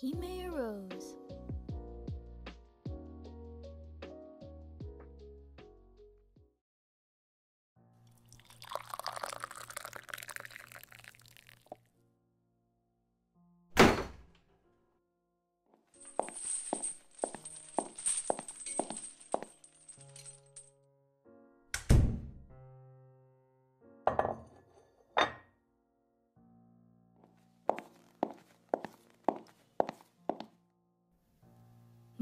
He may a rose.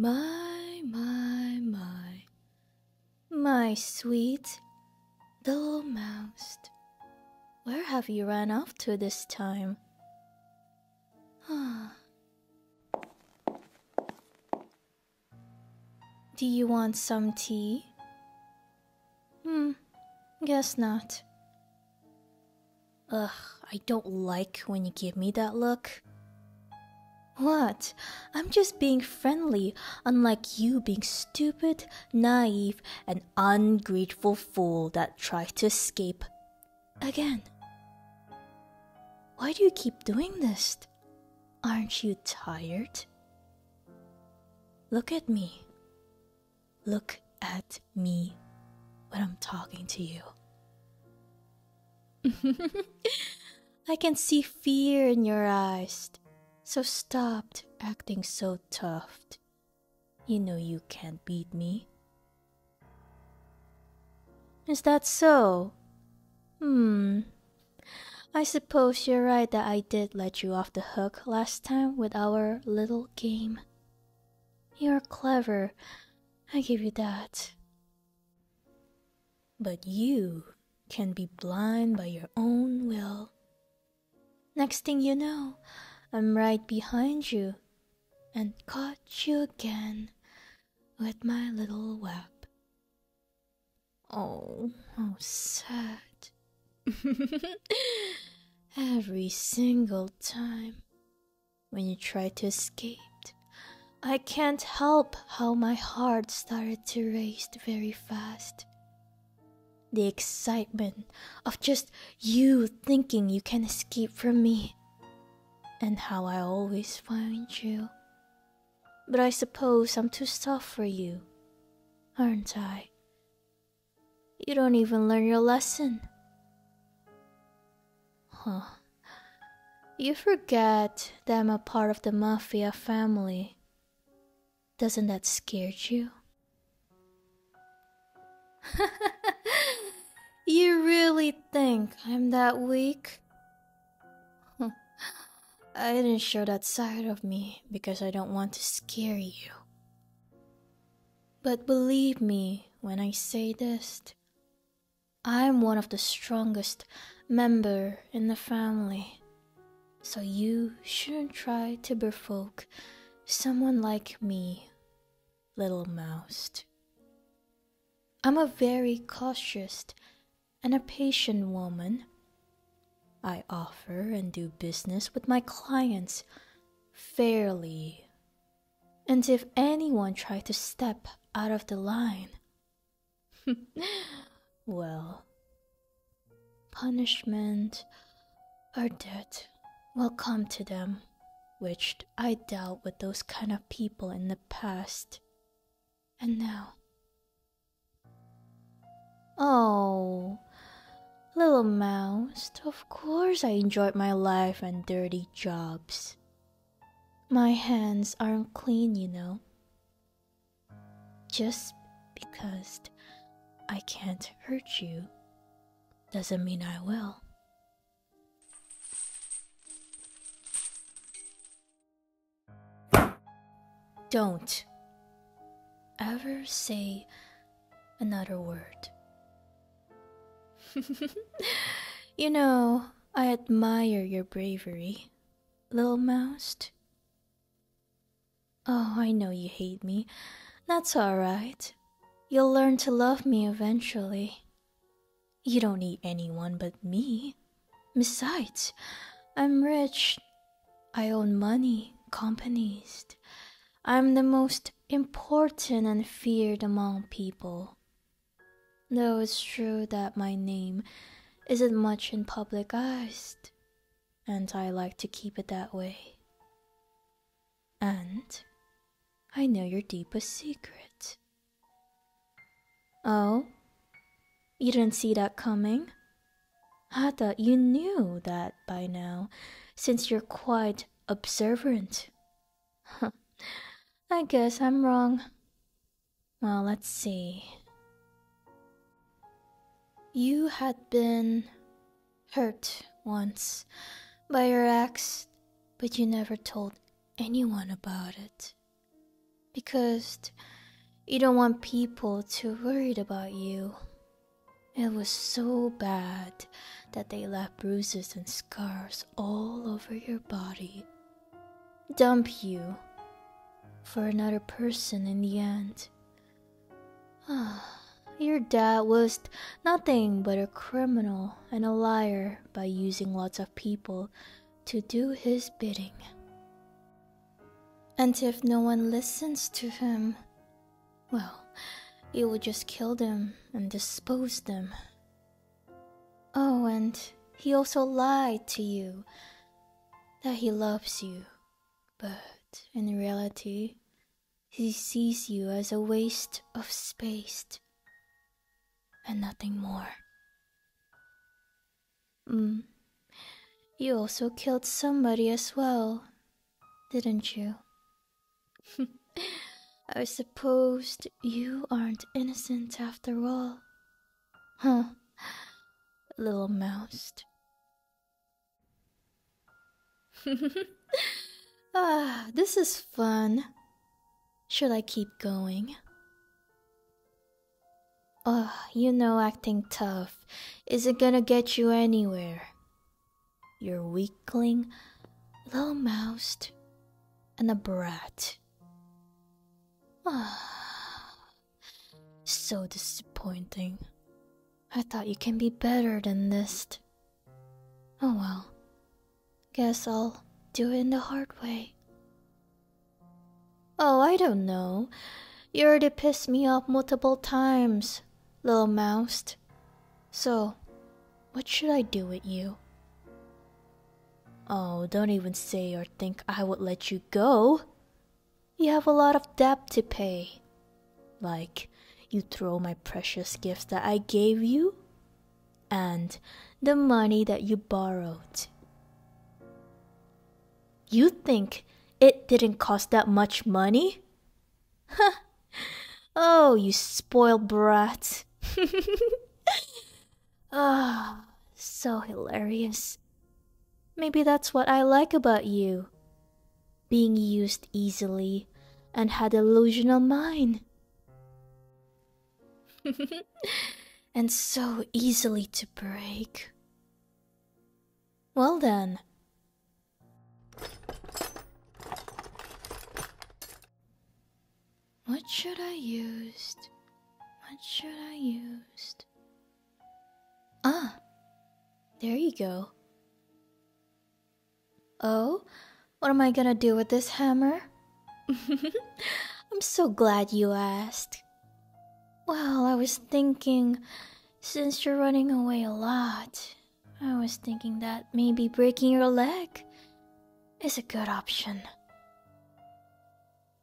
My, my, my, my sweet little mouse, where have you run off to this time? Ah. Do you want some tea? Hmm, guess not. Ugh, I don't like when you give me that look. What? I'm just being friendly, unlike you being stupid, naive, and ungrateful fool that tries to escape. Again. Why do you keep doing this? Aren't you tired? Look at me. Look at me when I'm talking to you. I can see fear in your eyes, so stop acting so tough. You know you can't beat me. Is that so? Hmm, I suppose you're right that I did let you off the hook last time with our little game. You're clever, I give you that. But you can be blind by your own will. Next thing you know, I'm right behind you and caught you again with my little web. Oh, how sad. Every single time when you try to escape, I can't help how my heart started to race very fast. The excitement of just you thinking you can escape from me, and how I always find you but I suppose I'm too soft for you, aren't I? You don't even learn your lesson. Huh. You forget that I'm a part of the mafia family. Doesn't that scare you? you really think I'm that weak? I didn't show that side of me because I don't want to scare you. But believe me when I say this, I'm one of the strongest member in the family. So you shouldn't try to provoke someone like me, little mouse. I'm a very cautious and a patient woman. I offer and do business with my clients fairly. And if anyone tried to step out of the line, well, punishment or death will come to them, which I dealt with those kind of people in the past. And now. Oh, little mouse, of course I enjoyed my life and dirty jobs. My hands aren't clean, you know. Just because I can't hurt you doesn't mean I will. Don't ever say another word. you know, I admire your bravery, little mouse. Oh, I know you hate me. That's alright. You'll learn to love me eventually. You don't need anyone but me. Besides, I'm rich. I own money, companies. I'm the most important and feared among people. Though it's true that my name isn't much in public eyes, and I like to keep it that way. And I know your deepest secret. Oh? You didn't see that coming? I thought you knew that by now, since you're quite observant. I guess I'm wrong. Well, let's see. You had been hurt once by your ax, but you never told anyone about it. Because you don't want people to worried about you. It was so bad that they left bruises and scars all over your body. Dump you for another person in the end. Ah, your dad was nothing but a criminal and a liar by using lots of people to do his bidding. And if no one listens to him, well, he will just kill them and dispose them. Oh, and he also lied to you that he loves you, but in reality, he sees you as a waste of space and nothing more. Mm. You also killed somebody as well, didn't you? I suppose you aren't innocent after all. Huh, little mouse. ah, this is fun. Should I keep going? Ugh, ah, you know acting tough is it gonna get you anywhere. You're weakling, low mouthed, and a brat. Ah, so disappointing. I thought you can be better than this. Oh well, Guess I'll do it in the hard way. Oh, I don't know. You already pissed me off multiple times, little mouse. So, what should I do with you? Oh, don't even say or think I would let you go. You have a lot of debt to pay. Like, you throw my precious gifts that I gave you and the money that you borrowed. You think it didn't cost that much money? oh, you spoiled brat. Ah, so hilarious. Maybe that's what I like about you. Being used easily and had a illusional mind. and so easily to break. Well then. What should I use?d What should I use?d Ah, there you go. Oh, what am I gonna do with this hammer? I'm so glad you asked. Well, I was thinking, since you're running away a lot, I was thinking that maybe breaking your leg is a good option.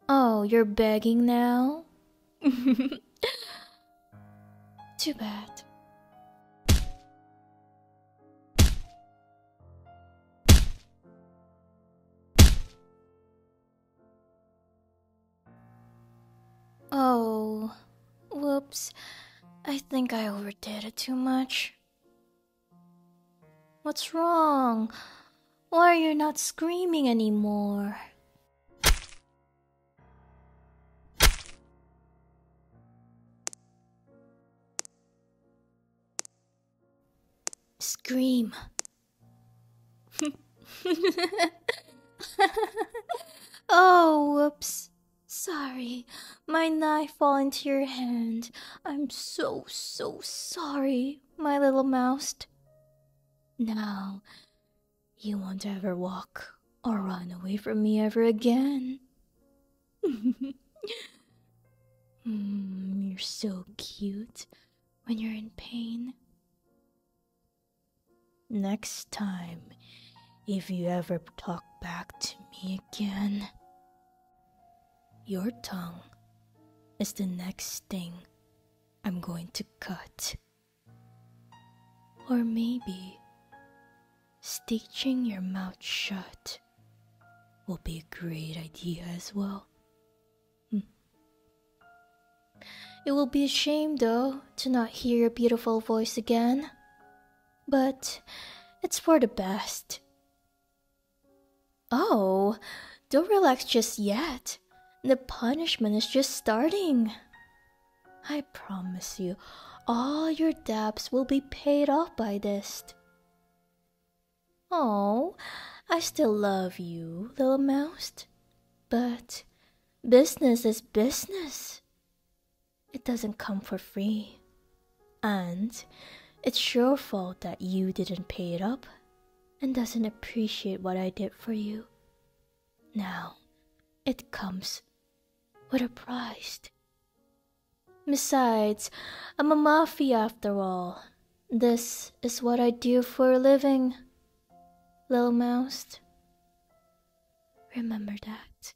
Oh, you're begging now? Too bad. Oh, whoops. I think I overdid it too much. What's wrong? Why are you not screaming anymore? Scream. oh, whoops. Sorry, my knife fell into your hand. I'm so, so sorry, my little mouse. Now, you won't ever walk or run away from me ever again. Mm, you're so cute when you're in pain. Next time, if you ever talk back to me again, your tongue is the next thing I'm going to cut. Or maybe stitching your mouth shut will be a great idea as well. Hmm. It will be a shame, though, to not hear your beautiful voice again. But it's for the best. Oh, don't relax just yet. The punishment is just starting. I promise you, all your debts will be paid off by this. Oh, I still love you, little mouse, but business is business. It doesn't come for free. And it's your fault that you didn't pay it up and doesn't appreciate what I did for you. Now, it comes with a price. Besides, I'm a mafi, after all. This is what I do for a living, little mouse. Remember that.